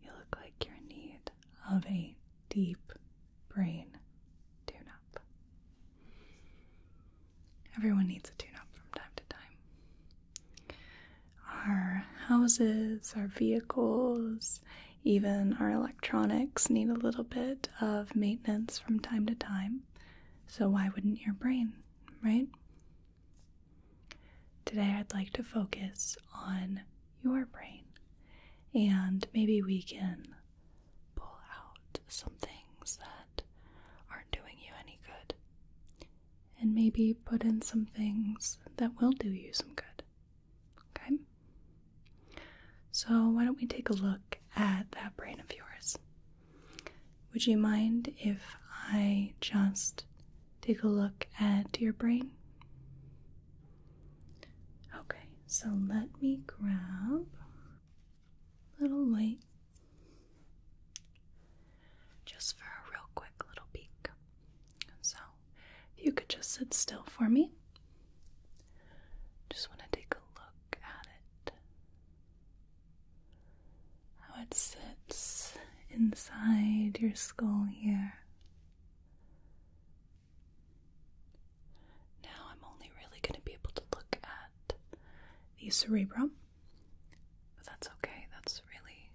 You look like you're in need of a deep brain tune up. Everyone needs a tune up from time to time. Our houses, our vehicles, even our electronics need a little bit of maintenance from time to time. So, why wouldn't your brain, right? Today, I'd like to focus on your brain, and maybe we can pull out some things that aren't doing you any good, and maybe put in some things that will do you some good. Okay? So, why don't we take a look at that brain of yours? Would you mind if I just take a look at your brain. Okay, so let me grab a little light just for a real quick little peek. So, if you could just sit still for me. Just want to take a look at it. How it sits inside your skull here. Now I'm only really going to be able to look at the cerebrum, but that's okay. That's really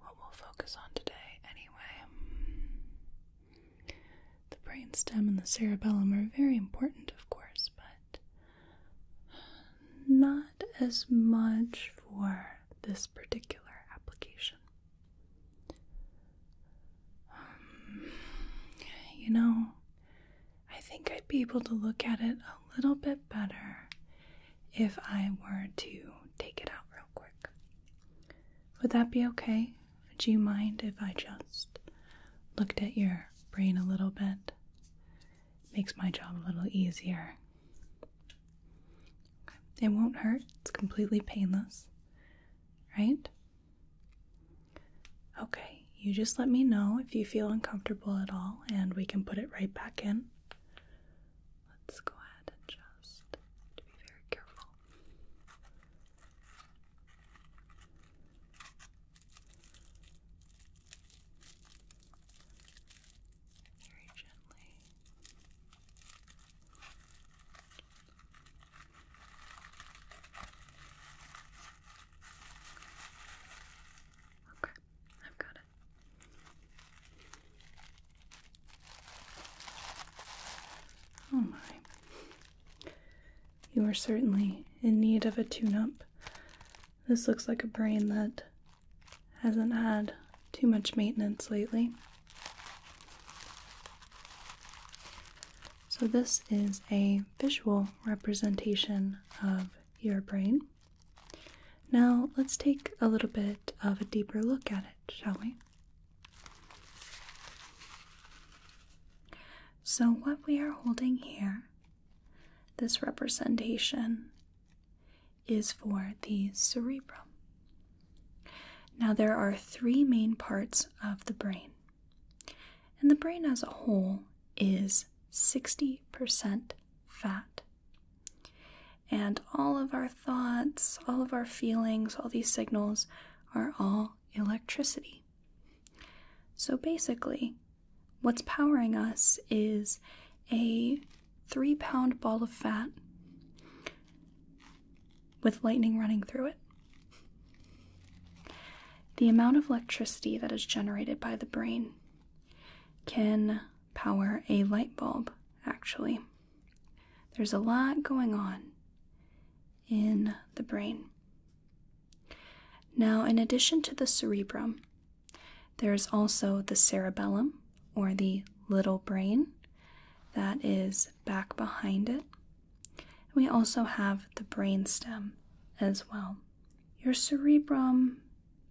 what we'll focus on today, anyway. The brain stem and the cerebellum are very important, of course, but not as much for this particular application. Um, you know, I think I'd be able to look at it a little bit better if I were to take it out real quick. Would that be okay? Would you mind if I just looked at your brain a little bit? Makes my job a little easier. It won't hurt. It's completely painless. Right? Okay. You just let me know if you feel uncomfortable at all and we can put it right back in. Let's go ahead and just be very careful very gently. Okay, I've got it. Oh my. You are certainly in need of a tune up. This looks like a brain that hasn't had too much maintenance lately. So, this is a visual representation of your brain. Now, let's take a little bit of a deeper look at it, shall we? So, what we are holding here, this representation, is for the cerebrum. Now, there are three main parts of the brain, and the brain as a whole is 60% fat. And all of our thoughts, all of our feelings, all these signals are all electricity. So basically, what's powering us is a three pound ball of fat with lightning running through it. The amount of electricity that is generated by the brain can power a light bulb, actually. There's a lot going on in the brain. Now, in addition to the cerebrum, there is also the cerebellum, or the little brain that is back behind it. We also have the brainstem as well. Your cerebrum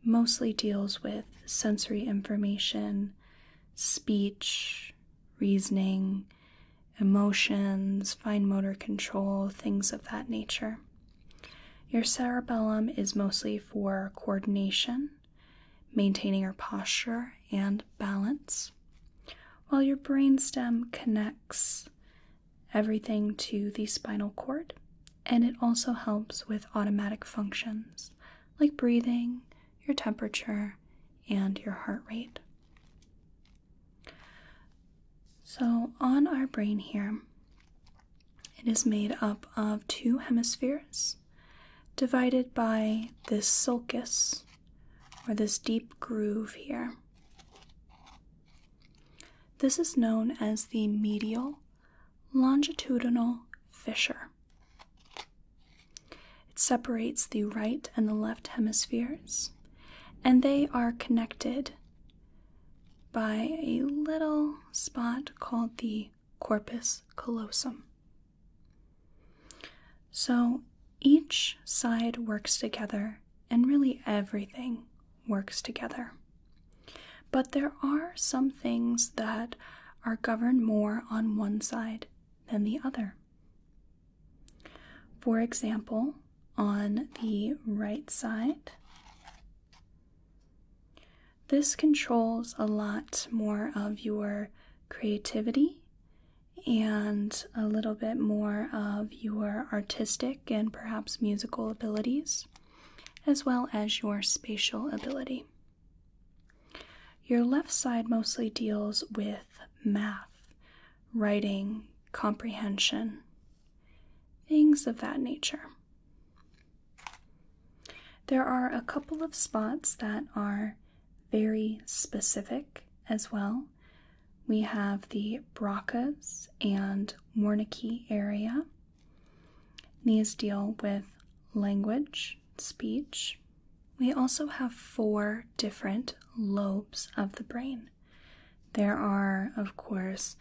mostly deals with sensory information, speech, reasoning, emotions, fine motor control, things of that nature. Your cerebellum is mostly for coordination maintaining your posture and balance, while your brainstem connects everything to the spinal cord and it also helps with automatic functions like breathing, your temperature, and your heart rate. So, on our brain here, it is made up of two hemispheres divided by this sulcus or this deep groove here. This is known as the medial longitudinal fissure. It separates the right and the left hemispheres, and they are connected by a little spot called the corpus callosum. So each side works together, and really everything works together. But there are some things that are governed more on one side than the other. For example, on the right side, this controls a lot more of your creativity and a little bit more of your artistic and perhaps musical abilities, as well as your spatial ability. Your left side mostly deals with math, writing, comprehension, things of that nature. There are a couple of spots that are very specific as well. We have the Brocas and Wernicke area. These deal with language, speech. We also have four different lobes of the brain. There are, of course,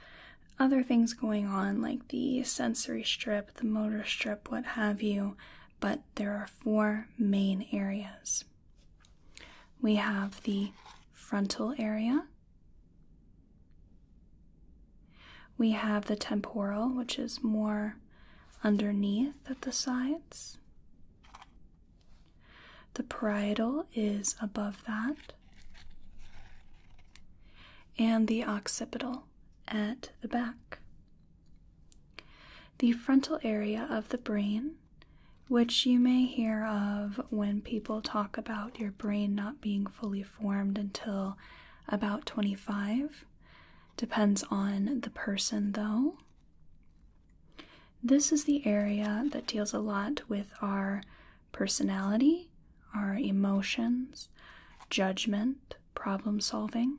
other things going on like the sensory strip, the motor strip, what have you, but there are four main areas. We have the frontal area, we have the temporal, which is more underneath at the sides. The parietal is above that, and the occipital at the back. The frontal area of the brain, which you may hear of when people talk about your brain not being fully formed until about 25, depends on the person though. This is the area that deals a lot with our personality, our emotions, judgment, problem solving.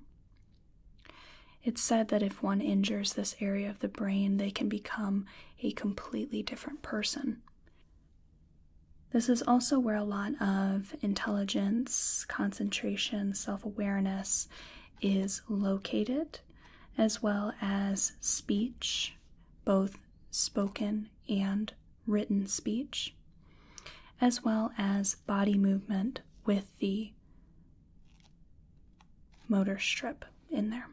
It's said that if one injures this area of the brain, they can become a completely different person. This is also where a lot of intelligence, concentration, self awareness is located, as well as speech, both spoken and written speech, as well as body movement with the motor strip in there.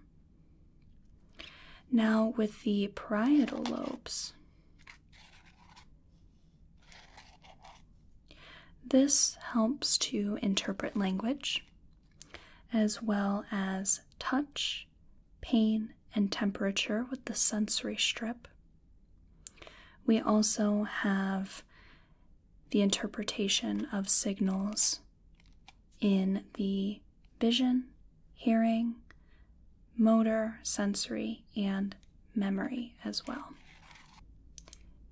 Now, with the parietal lobes, this helps to interpret language as well as touch, pain, and temperature with the sensory strip. We also have the interpretation of signals in the vision, hearing, motor, sensory, and memory as well.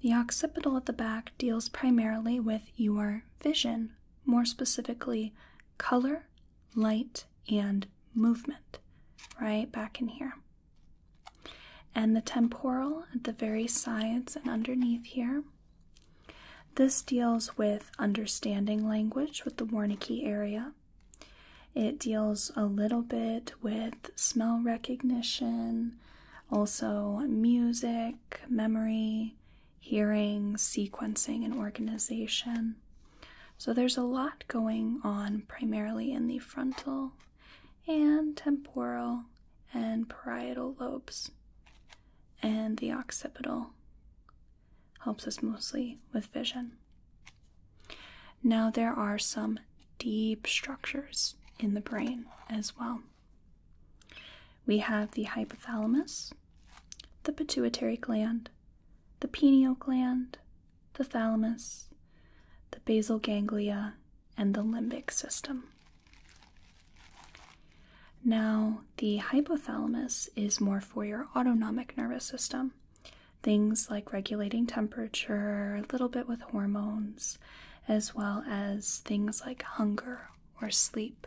The occipital at the back deals primarily with your vision, more specifically, color, light, and movement, right back in here and the temporal at the very sides and underneath here. This deals with understanding language with the Wernicke area. It deals a little bit with smell recognition, also music, memory, hearing, sequencing, and organization. So there's a lot going on primarily in the frontal and temporal and parietal lobes, and the occipital helps us mostly with vision. Now, there are some deep structures in the brain as well. We have the hypothalamus, the pituitary gland, the pineal gland, the thalamus, the basal ganglia, and the limbic system. Now, the hypothalamus is more for your autonomic nervous system. Things like regulating temperature, a little bit with hormones, as well as things like hunger or sleep.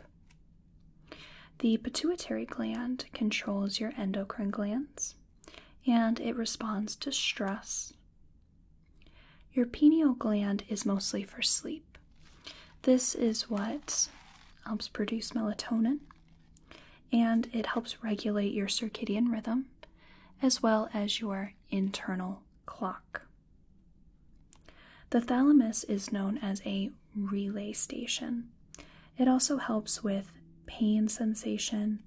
The pituitary gland controls your endocrine glands and it responds to stress your pineal gland is mostly for sleep. This is what helps produce melatonin and it helps regulate your circadian rhythm as well as your internal clock. The thalamus is known as a relay station. It also helps with pain sensation,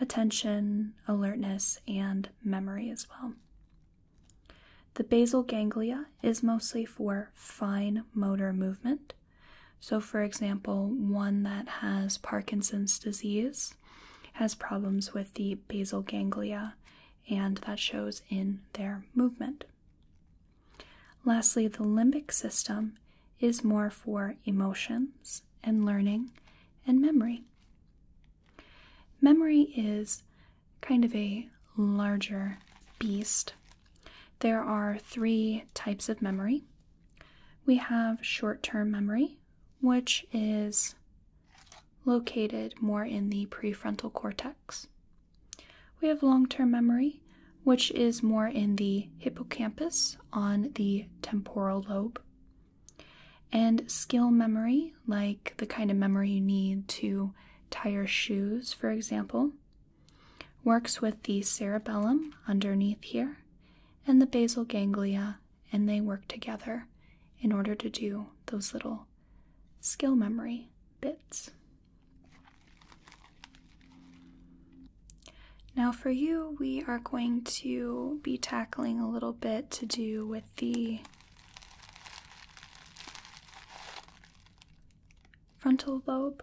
attention, alertness, and memory as well. The basal ganglia is mostly for fine motor movement. So, for example, one that has Parkinson's disease has problems with the basal ganglia, and that shows in their movement. Lastly, the limbic system is more for emotions and learning and memory. Memory is kind of a larger beast. There are three types of memory. We have short term memory, which is located more in the prefrontal cortex. We have long term memory, which is more in the hippocampus on the temporal lobe. And skill memory, like the kind of memory you need to tie your shoes, for example, works with the cerebellum underneath here and the basal ganglia, and they work together in order to do those little skill memory bits. Now, for you, we are going to be tackling a little bit to do with the frontal lobe.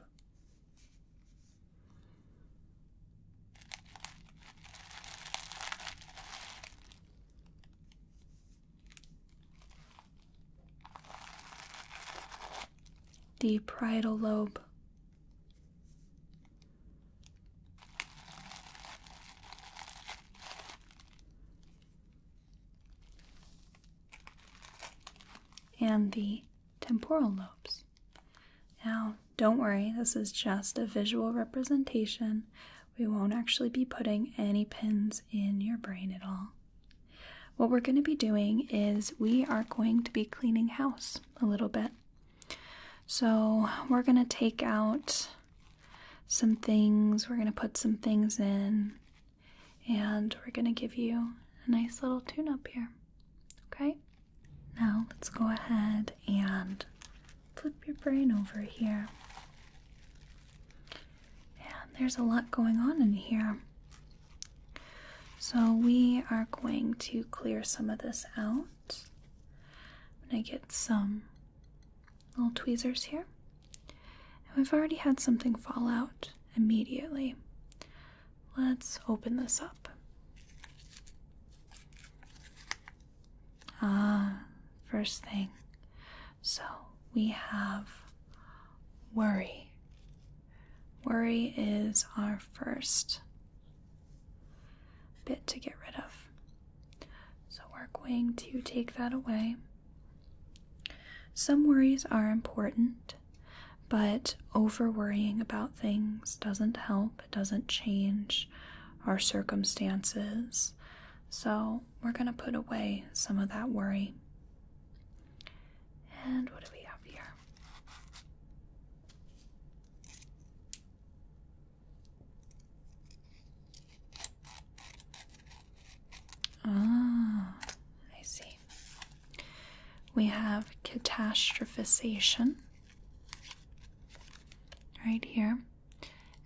The parietal lobe, and the temporal lobes. Now, don't worry, this is just a visual representation. We won't actually be putting any pins in your brain at all. What we're going to be doing is we are going to be cleaning house a little bit. So, we're going to take out some things, we're going to put some things in, and we're going to give you a nice little tune up here. Okay? Now, let's go ahead and flip your brain over here. And there's a lot going on in here. So, we are going to clear some of this out. I'm going to get some little tweezers here. And we've already had something fall out immediately. Let's open this up. Ah, first thing. So we have worry. Worry is our first bit to get rid of. So we're going to take that away. Some worries are important, but over worrying about things doesn't help, it doesn't change our circumstances. So we're going to put away some of that worry. And what do we have here? Ah, I see. We have catastrophization right here.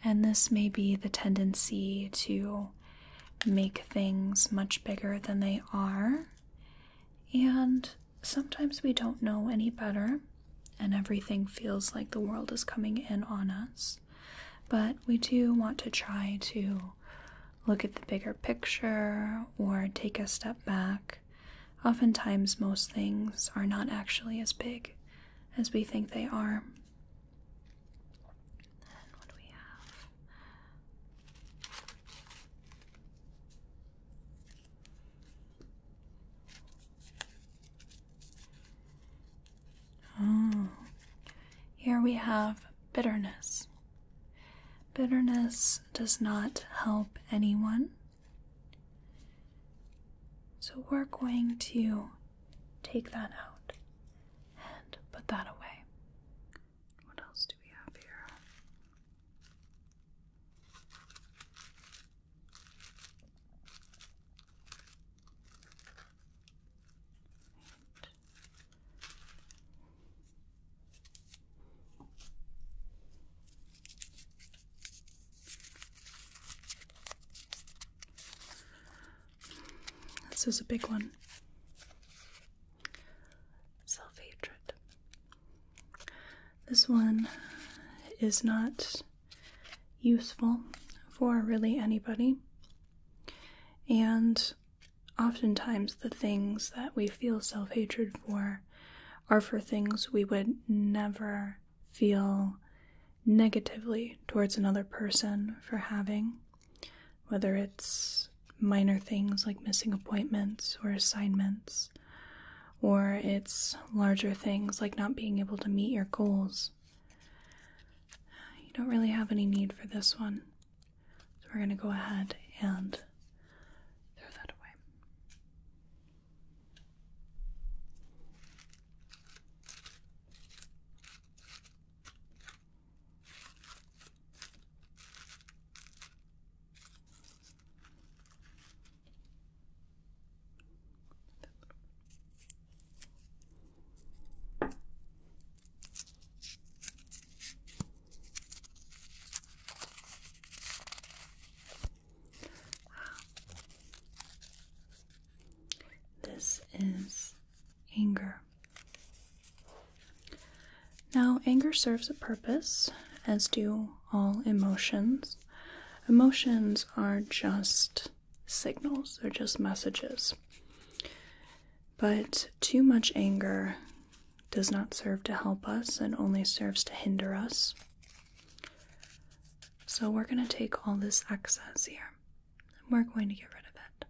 And this may be the tendency to make things much bigger than they are. And sometimes we don't know any better and everything feels like the world is coming in on us. But we do want to try to look at the bigger picture or take a step back. Oftentimes, most things are not actually as big as we think they are. And what do we have? Oh, here we have bitterness. Bitterness does not help anyone. So we're going to take that out and put that away. What else do we have here? This is a big one. Self hatred. This one is not useful for really anybody. And oftentimes, the things that we feel self hatred for are for things we would never feel negatively towards another person for having, whether it's minor things like missing appointments or assignments, or it's larger things like not being able to meet your goals you don't really have any need for this one. So we're going to go ahead and throw that away. This is anger. Now, anger serves a purpose, as do all emotions. Emotions are just signals, they're just messages. But too much anger does not serve to help us and only serves to hinder us. So we're going to take all this excess here and we're going to get rid of it.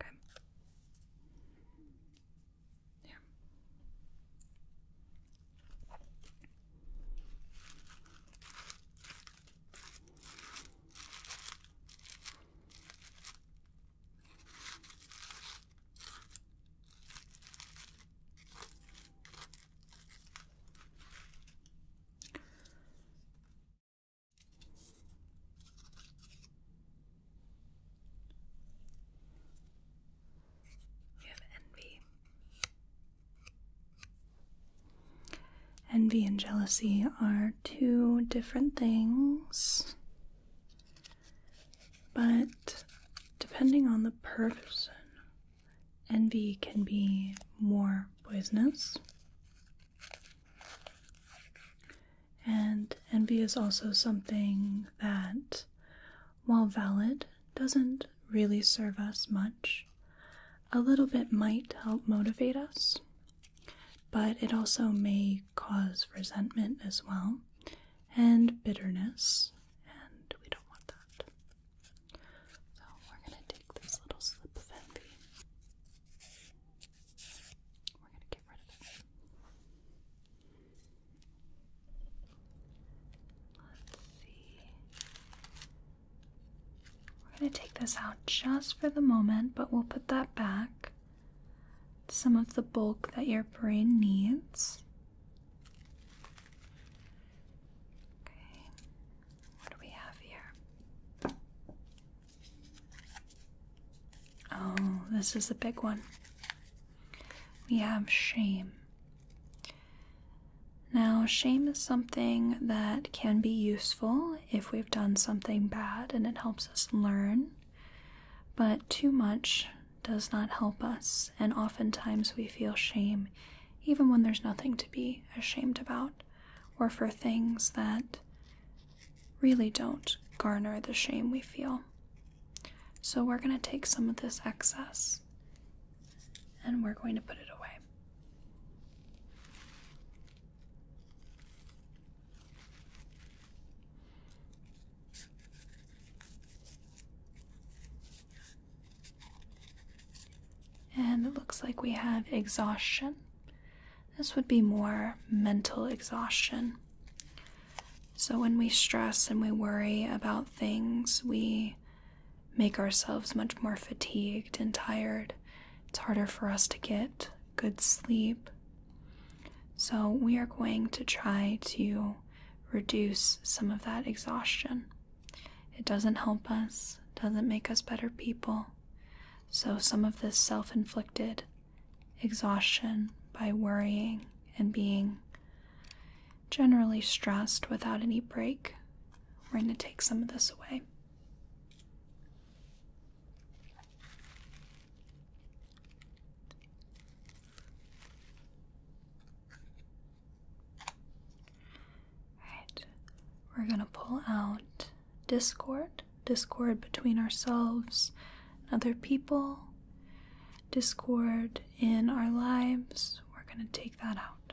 Okay. Yeah. You have envy. Envy and jealousy are two different things, but depending on the person, envy can be more poisonous. And envy is also something that, while valid, doesn't really serve us much. A little bit might help motivate us, but it also may cause resentment as well, and bitterness, and we don't want that. So we're going to take this little slip of envy. We're going to get rid of it. Let's see. We're going to take this out just for the moment, but we'll put that back. Some of the bulk that your brain needs. Okay, what do we have here? Oh, this is a big one. We have shame. Now, shame is something that can be useful if we've done something bad and it helps us learn, but too much does not help us, and oftentimes we feel shame even when there's nothing to be ashamed about or for things that really don't garner the shame we feel. So, we're going to take some of this excess and we're going to put it away. And it looks like we have exhaustion. This would be more mental exhaustion. So, when we stress and we worry about things, we make ourselves much more fatigued and tired. It's harder for us to get good sleep. So, we are going to try to reduce some of that exhaustion. It doesn't help us, doesn't make us better people. So, some of this self inflicted exhaustion by worrying and being generally stressed without any break we're going to take some of this away. Alright, we're going to pull out discord, discord between ourselves other people, discord in our lives. We're going to take that out.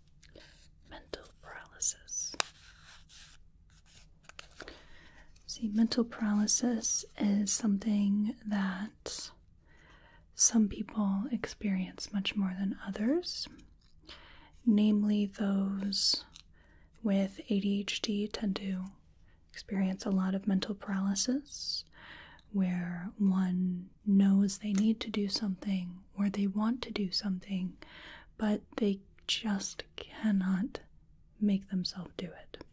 mental paralysis. See, mental paralysis is something that some people experience much more than others, namely, those with ADHD tend to experience a lot of mental paralysis where one knows they need to do something or they want to do something, but they just cannot make themselves do it.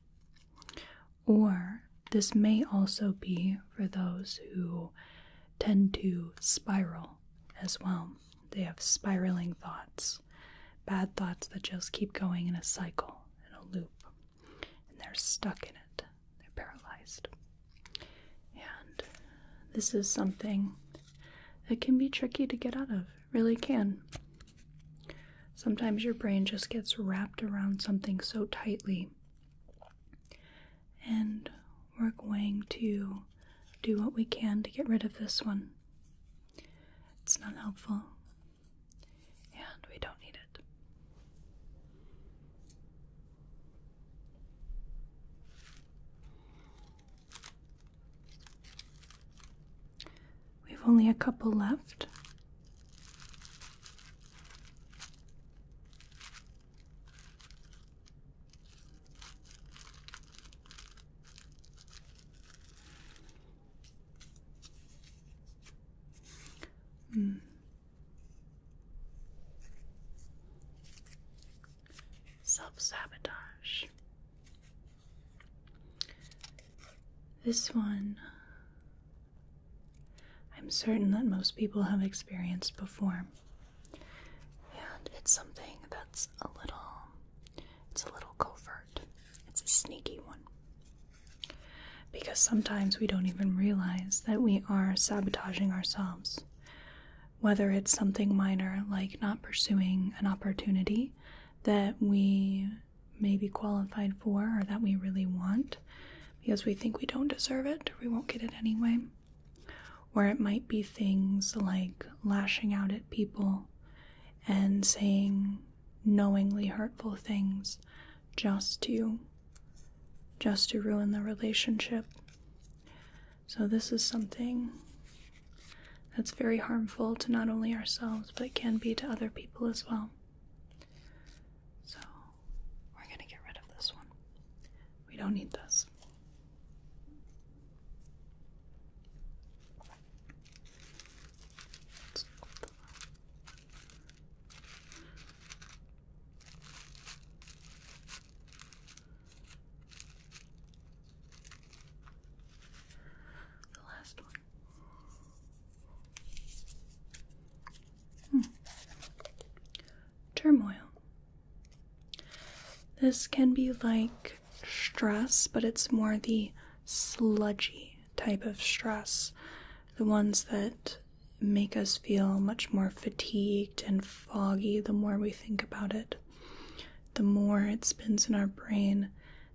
Or this may also be for those who tend to spiral as well. They have spiraling thoughts, bad thoughts that just keep going in a cycle, in a loop, and they're stuck in it. They're paralyzed. And this is something it can be tricky to get out of, really can. Sometimes your brain just gets wrapped around something so tightly, and we're going to do what we can to get rid of this one. It's not helpful, and we don't need it. We've only a couple left. Mm self sabotage. This one, I'm certain that most people have experienced before. And it's something that's a little, it's a little covert. It's a sneaky one. Because sometimes we don't even realize that we are sabotaging ourselves whether it's something minor like not pursuing an opportunity that we may be qualified for or that we really want because we think we don't deserve it or we won't get it anyway. Or it might be things like lashing out at people and saying knowingly hurtful things just to just to ruin the relationship. So, this is something that's very harmful to not only ourselves, but it can be to other people as well. So, we're going to get rid of this one. We don't need this. The last one. Hmm. Turmoil. This can be like stress, but it's more the sludgy type of stress. The ones that make us feel much more fatigued and foggy the more we think about it. The more it spins in our brain,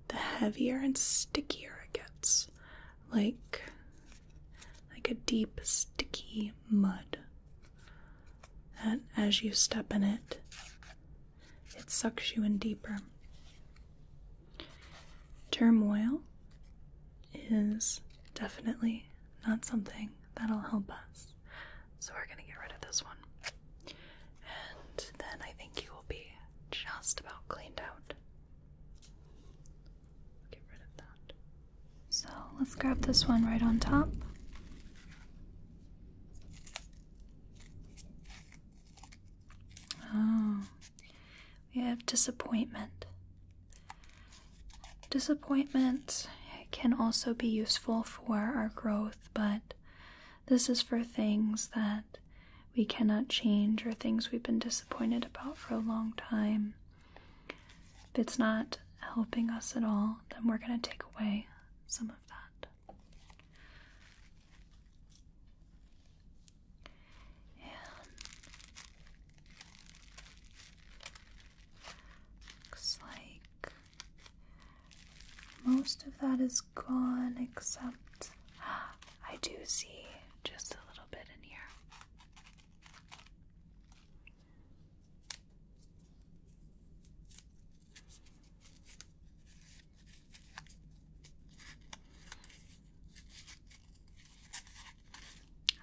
the heavier and stickier it gets. Like like a deep sticky mud. That as you step in it, it sucks you in deeper. Turmoil is definitely not something that'll help us. So we're gonna get rid of this one. And then I think you will be just about cleaned out. Get rid of that. So let's grab this one right on top. Oh, we have disappointment. Disappointment can also be useful for our growth but this is for things that we cannot change or things we've been disappointed about for a long time. If it's not helping us at all, then we're going to take away some of that. Looks like most of that is gone, except I do see just a little bit in here.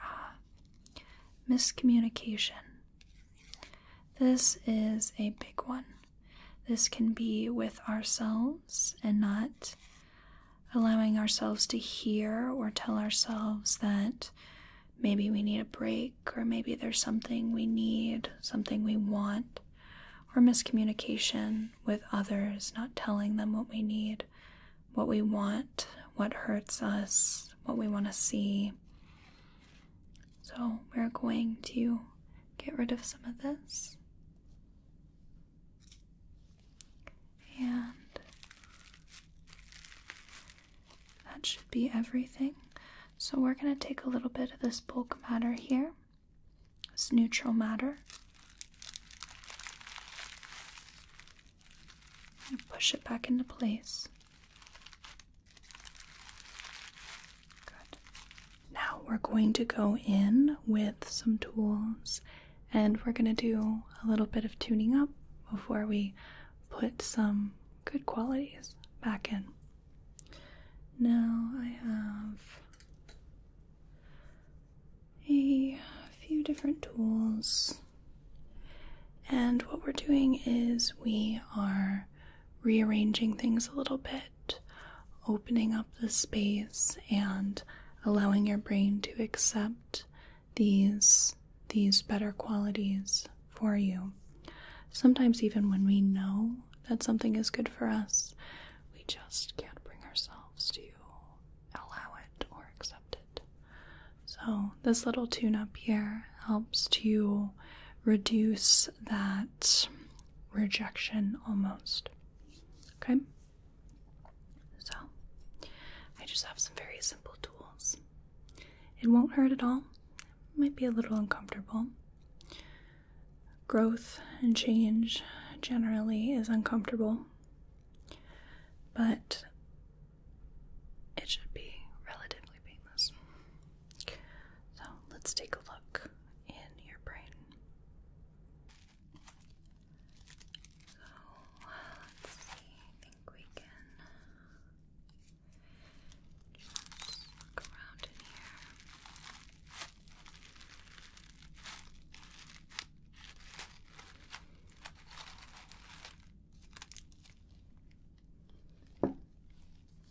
Ah, miscommunication. This is a big one. This can be with ourselves and not allowing ourselves to hear or tell ourselves that maybe we need a break or maybe there's something we need, something we want, or miscommunication with others, not telling them what we need, what we want, what hurts us, what we want to see. So we're going to get rid of some of this. And that should be everything. So we're going to take a little bit of this bulk matter here, this neutral matter. And push it back into place. Now we're going to go in with some tools and we're going to do a little bit of tuning up before we put some good qualities back in. Now I have a few different tools, and what we're doing is we are rearranging things a little bit, opening up the space and allowing your brain to accept these these better qualities for you. Sometimes even when we know that something is good for us, we just can't bring ourselves to allow it or accept it. So, this little tune up here helps to reduce is that rejection almost. Okay? So, I just have some very simple tools. It won't hurt at all, might be a little uncomfortable. Growth and change generally is uncomfortable, but it should be relatively painless. So let's take a look in your brain. So let's see, I think we can just look around in here.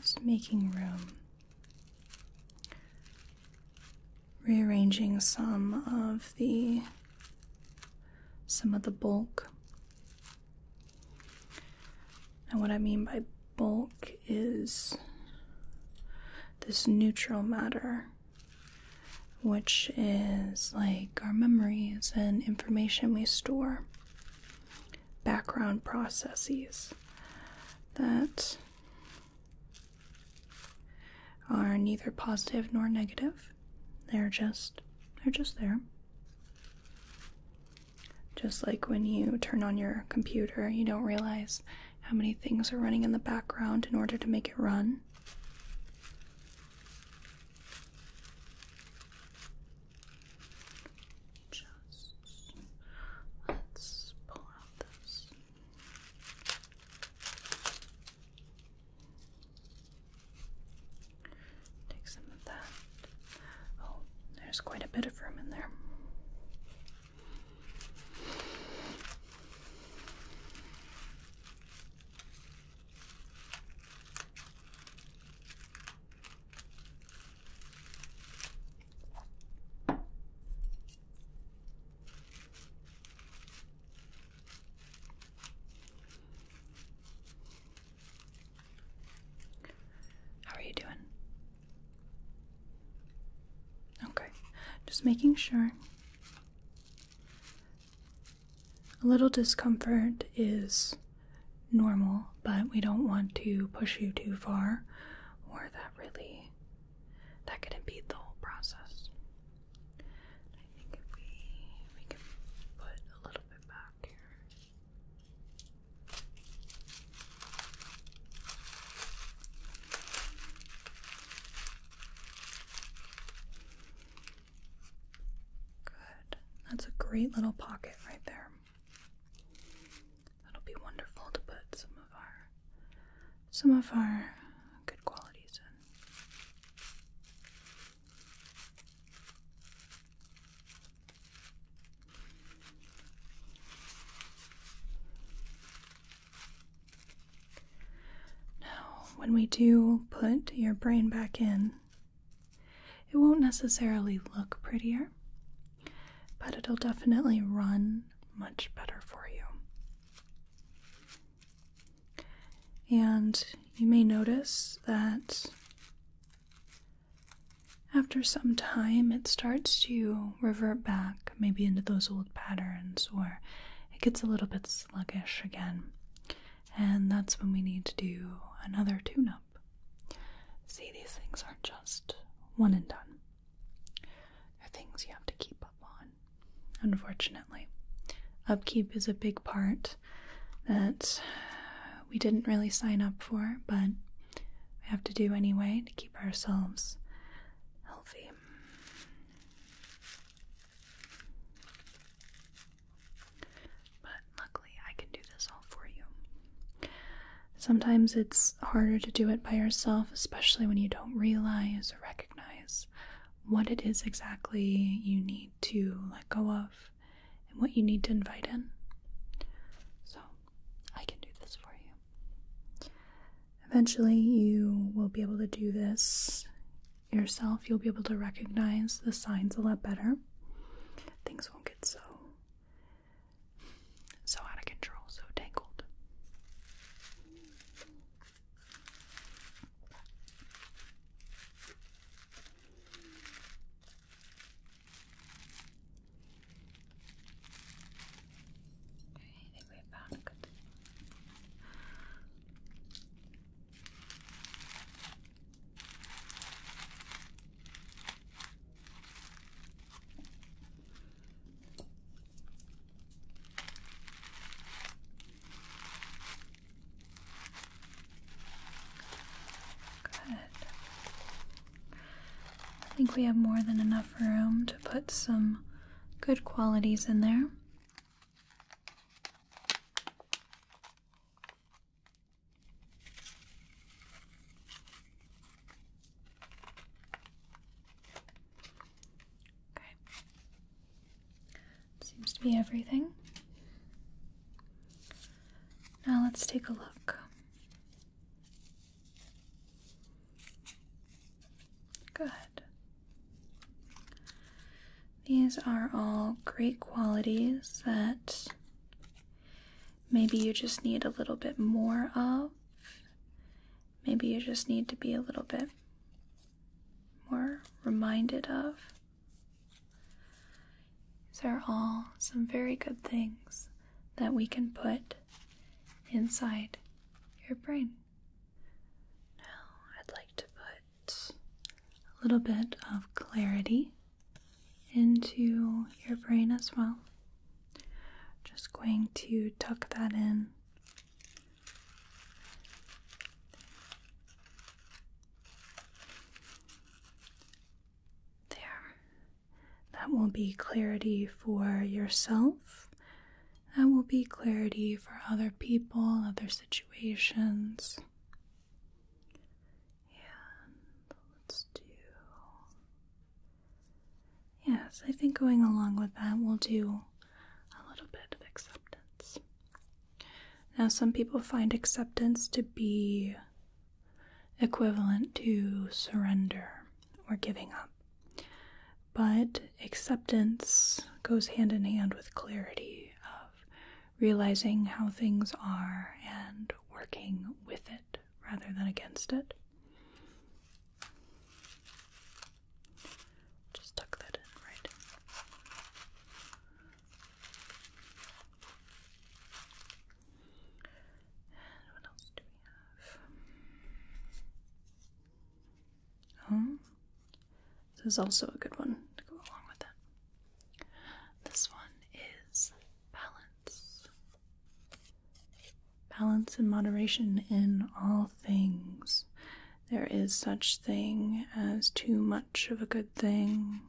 Just making room rearranging some of the some of the bulk. And what I mean by bulk is this neutral matter, which is like our memories and information we store, background processes that are neither positive nor negative. They're just they're just there. Just like when you turn on your computer, you don't realize how many things are running in the background in order to make it run. Just let's pull out this Take some of that. Oh, there's quite a bit of room in there. How are you doing? Okay, just making sure. A little discomfort is normal, but we don't want to push you too far, or that really that could impede the whole process. I think if we we can put a little bit back here. Good. That's a great little pocket right there. That'll be wonderful to put some of our some of our good qualities in. Now, when we do put your brain back in, it won't necessarily look prettier, but it'll definitely run much better for you. And you may notice that after some time it starts to revert back, maybe into those old patterns, or it gets a little bit sluggish again. And that's when we need to do another tune up. See, these things aren't just one and done. There are things you have to keep up on, unfortunately. Upkeep is a big part that we didn't really sign up for, but we have to do anyway to keep ourselves healthy. But luckily, I can do this all for you. Sometimes it's harder to do it by yourself, especially when you don't realize recognize what it is exactly you need to let go of and what you need to invite in. So, I can do this for you. Eventually, you will be able to do this yourself. You'll be able to recognize the signs a lot better. Things won't get so so out of control, so tangled. Okay, I think we found a good thing. Good. I think we have more than enough room to put some good qualities in there. Okay. Seems to be everything. Now let's take a look. Good. These are all great qualities that maybe you just need a little bit more of maybe you just need to be a little bit more reminded of. there are all some very good things that we can put inside your brain. Now, I'd like to put a little bit of clarity into your brain as well. Just going to tuck that in there. That will be clarity for yourself. That will be clarity for other people, other situations. And let's do Yes, I think going along with that will do a little bit of acceptance. Now, some people find acceptance to be equivalent to surrender or giving up, but acceptance goes hand in hand with clarity of realizing how things are and working with it rather than against it. Just tuck that in, right? And what else do we have? Oh, this is also a good one to go along with it. This one is balance balance and moderation in all things. There is such thing as too much of a good thing.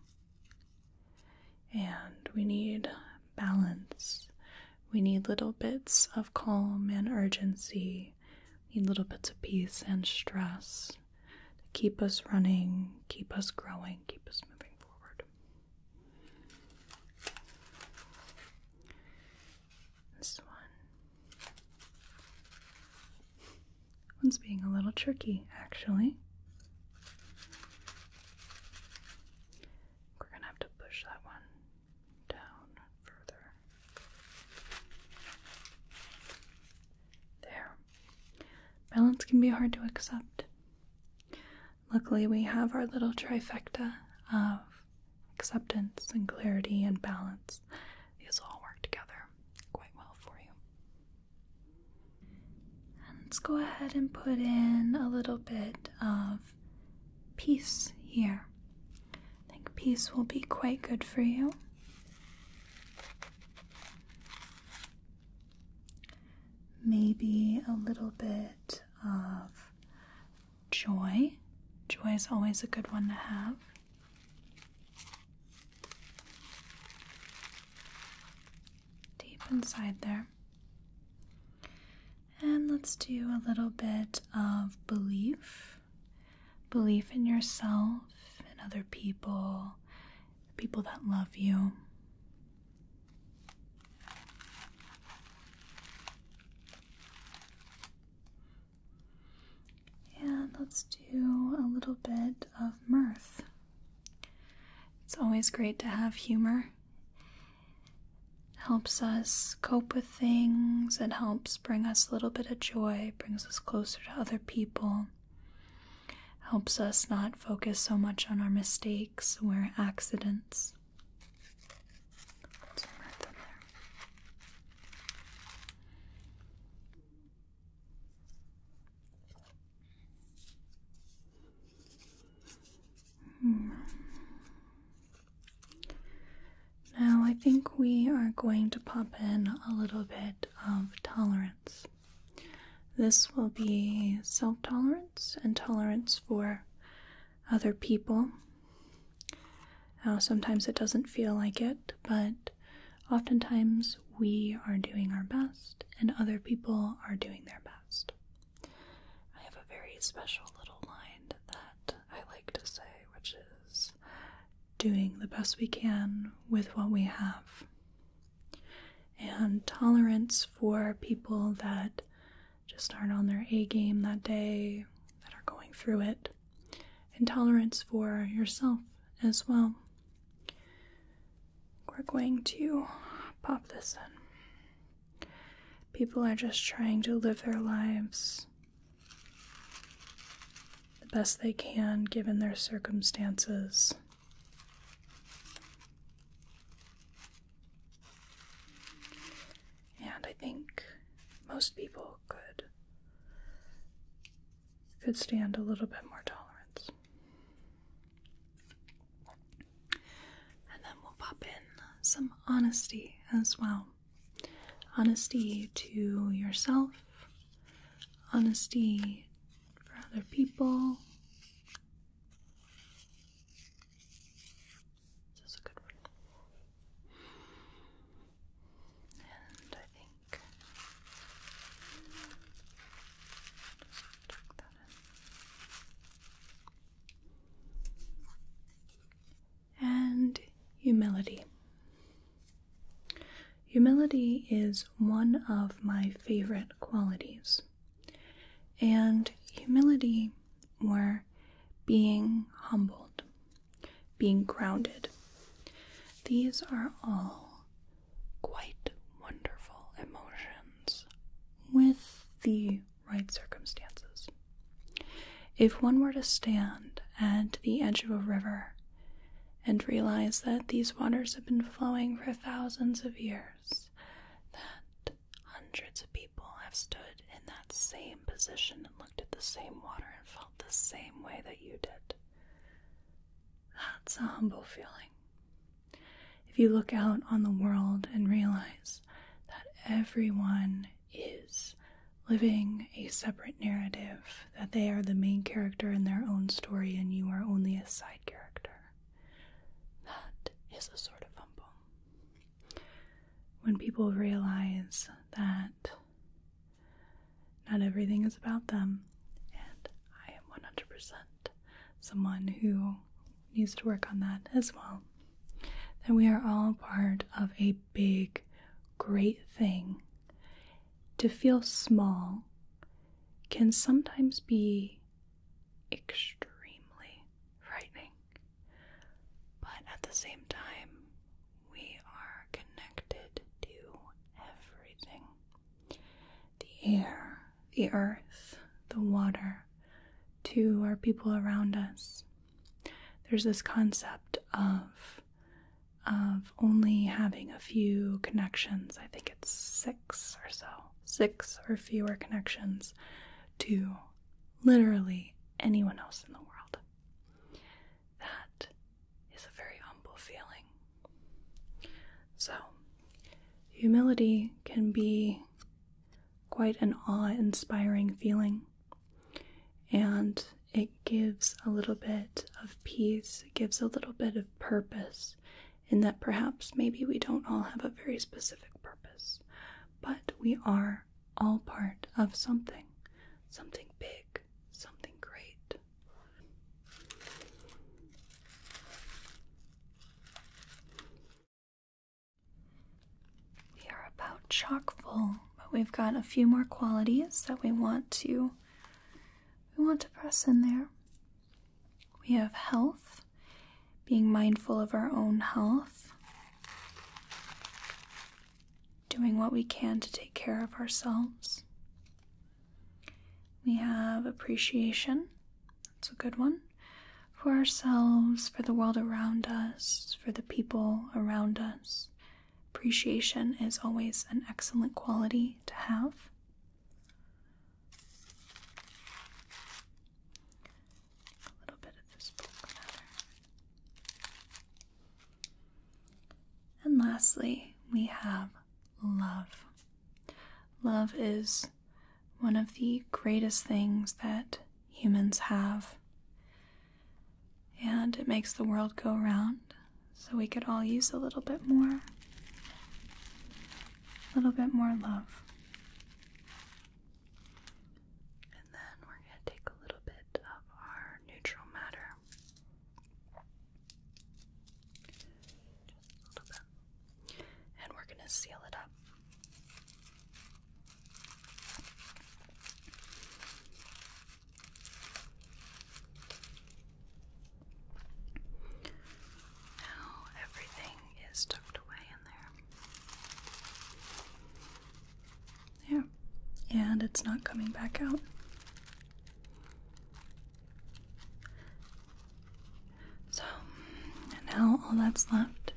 And we need balance. We need little bits of calm and urgency. We need little bits of peace and stress to keep us running, keep us growing, keep us moving forward. This one. One's being a little tricky, actually. We're gonna have to push that one down further. There. Balance can be hard to accept. Luckily, we have our little trifecta of acceptance and clarity and balance. These all work together quite well for you. let's go ahead and put in a little bit of peace here. I think peace will be quite good for you. Maybe a little bit of joy. Joy is always a good one to have. Deep inside there. And let's do a little bit of belief belief in yourself and other people, people that love you. And let's do a little bit of mirth. It's always great to have humor. helps us cope with things, it helps bring us a little bit of joy, brings us closer to other people, helps us not focus so much on our mistakes or accidents. Hmm. Now, I think we are going to pop in a little bit of tolerance. This will be self tolerance and tolerance for other people. Now, sometimes it doesn't feel like it, but oftentimes we are doing our best and other people are doing their best. I have a very special little line that I like to say, which is doing the best we can with what we have. And tolerance for people that just aren't on their A game that day, that are going through it, Intolerance for yourself as well. We're going to pop this in. People are just trying to live their lives the best they can given their circumstances. And I think most people could could stand a little bit more tolerance. And then we'll pop in some honesty as well. Honesty to yourself, honesty for other people. This is a good one. And I think And humility. Humility is one of my favorite qualities. And humility, or being humbled, being grounded. These are all quite wonderful emotions with the right circumstances. If one were to stand at the edge of a river and realize that these waters have been flowing for thousands of years, that hundreds of people have stood in that same position looked at the same water and felt the same way that you did. That's a humble feeling. If you look out on the world and realize that everyone is living a separate narrative, that they are the main character in their own story and you are only a side character, that is a sort of humble. When people realize that not everything is about them, and I am 100% someone who needs to work on that as well. That we are all part of a big, great thing. To feel small can sometimes be extremely frightening. But at the same time, we are connected to everything the air, the earth, the water, to our people around us. There's this concept of of only having a few connections. I think it's six or so, six or fewer connections to literally anyone else in the world. That is a very humble feeling. So, humility can be quite an awe inspiring feeling, and it gives a little bit of peace, it gives a little bit of purpose, in that perhaps maybe we don't all have a very specific purpose, but we are all part of something, something big, something great. We are about chock full, but we've got a few more qualities that we want to we want to press in there. We have health, being mindful of our own health doing what we can to take care of ourselves. We have appreciation, that's a good one, for ourselves, for the world around us, for the people around us. Appreciation is always an excellent quality to have. A little bit of this book and lastly, we have love. Love is one of the greatest things that humans have. And it makes the world go round, so we could all use a little bit more. A little bit more love. And then we're going to take a little bit of our neutral matter. Just a little bit. And we're going to seal it up. Now everything is tucked away in there. Yeah, And it's not coming back out. So now all that's left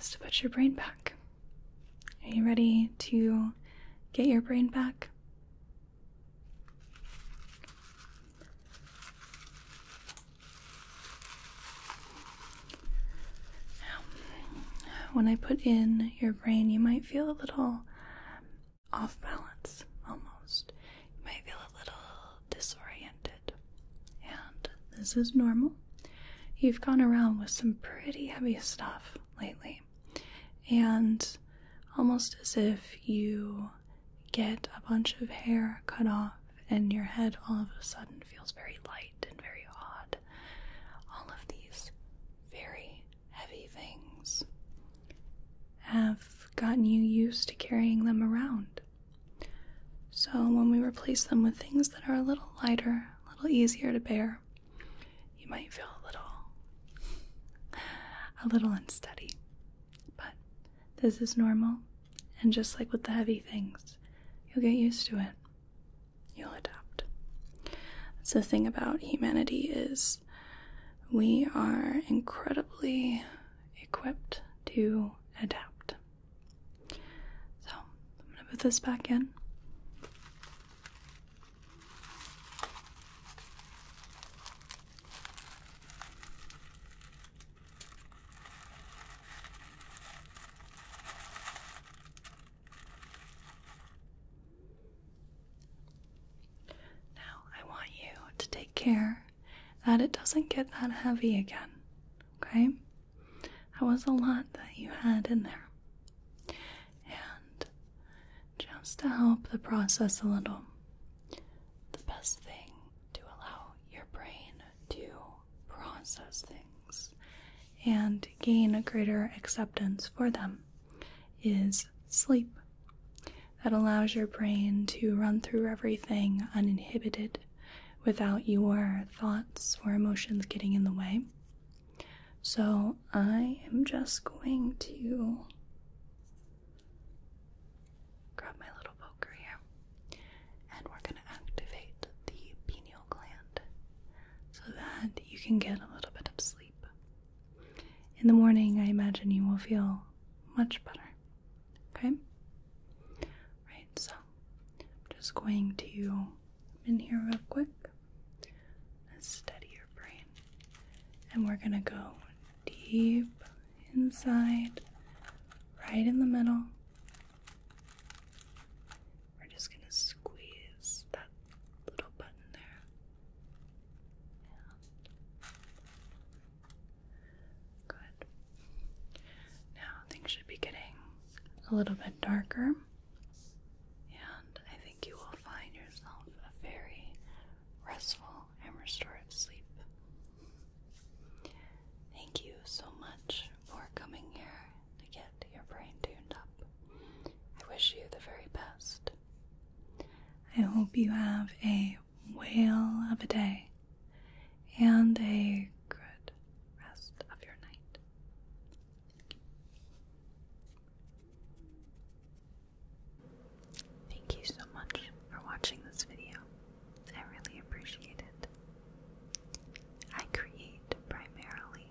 is to put your brain back. Are you ready to get your brain back? when I put in your brain, you might feel a little off balance almost. You might feel a little disoriented. And this is normal. You've gone around with some pretty heavy stuff lately. And almost as if you get a bunch of hair cut off and your head all of a sudden feels very light and very odd all of these very heavy things have gotten you used to carrying them around. So, when we replace them with things that are a little lighter, a little easier to bear, you might feel a little a little unsteady. But this is normal, and just like with the heavy things, you'll get used to it you'll adapt. That's the thing about humanity is we are incredibly equipped to adapt. So I'm gonna put this back in. Now, I want you to take care that it doesn't get that heavy again. Okay? That was a lot that you had in there. And just to help the process a little, the best thing to allow your brain to process things and gain a greater acceptance for them is sleep. That allows your brain to run through everything uninhibited without your thoughts or emotions getting in the way. So I am just going to grab my little poker here and we're going to activate the pineal gland so that you can get a little bit of sleep. In the morning, I imagine you will feel much better. Okay? Right, so I'm just going to come in here real quick, steady your brain, and we're gonna go deep inside, right in the middle. We're just gonna squeeze that little button there. Good. Now things should be getting a little bit darker, and I think you will find yourself a very restful and restorative sleep. Thank you so much for coming here to get your brain tuned up. I wish you the very best. I hope you have a whale of a day and a good rest of your night. Thank you so much for watching this video. I really appreciate it. I create primarily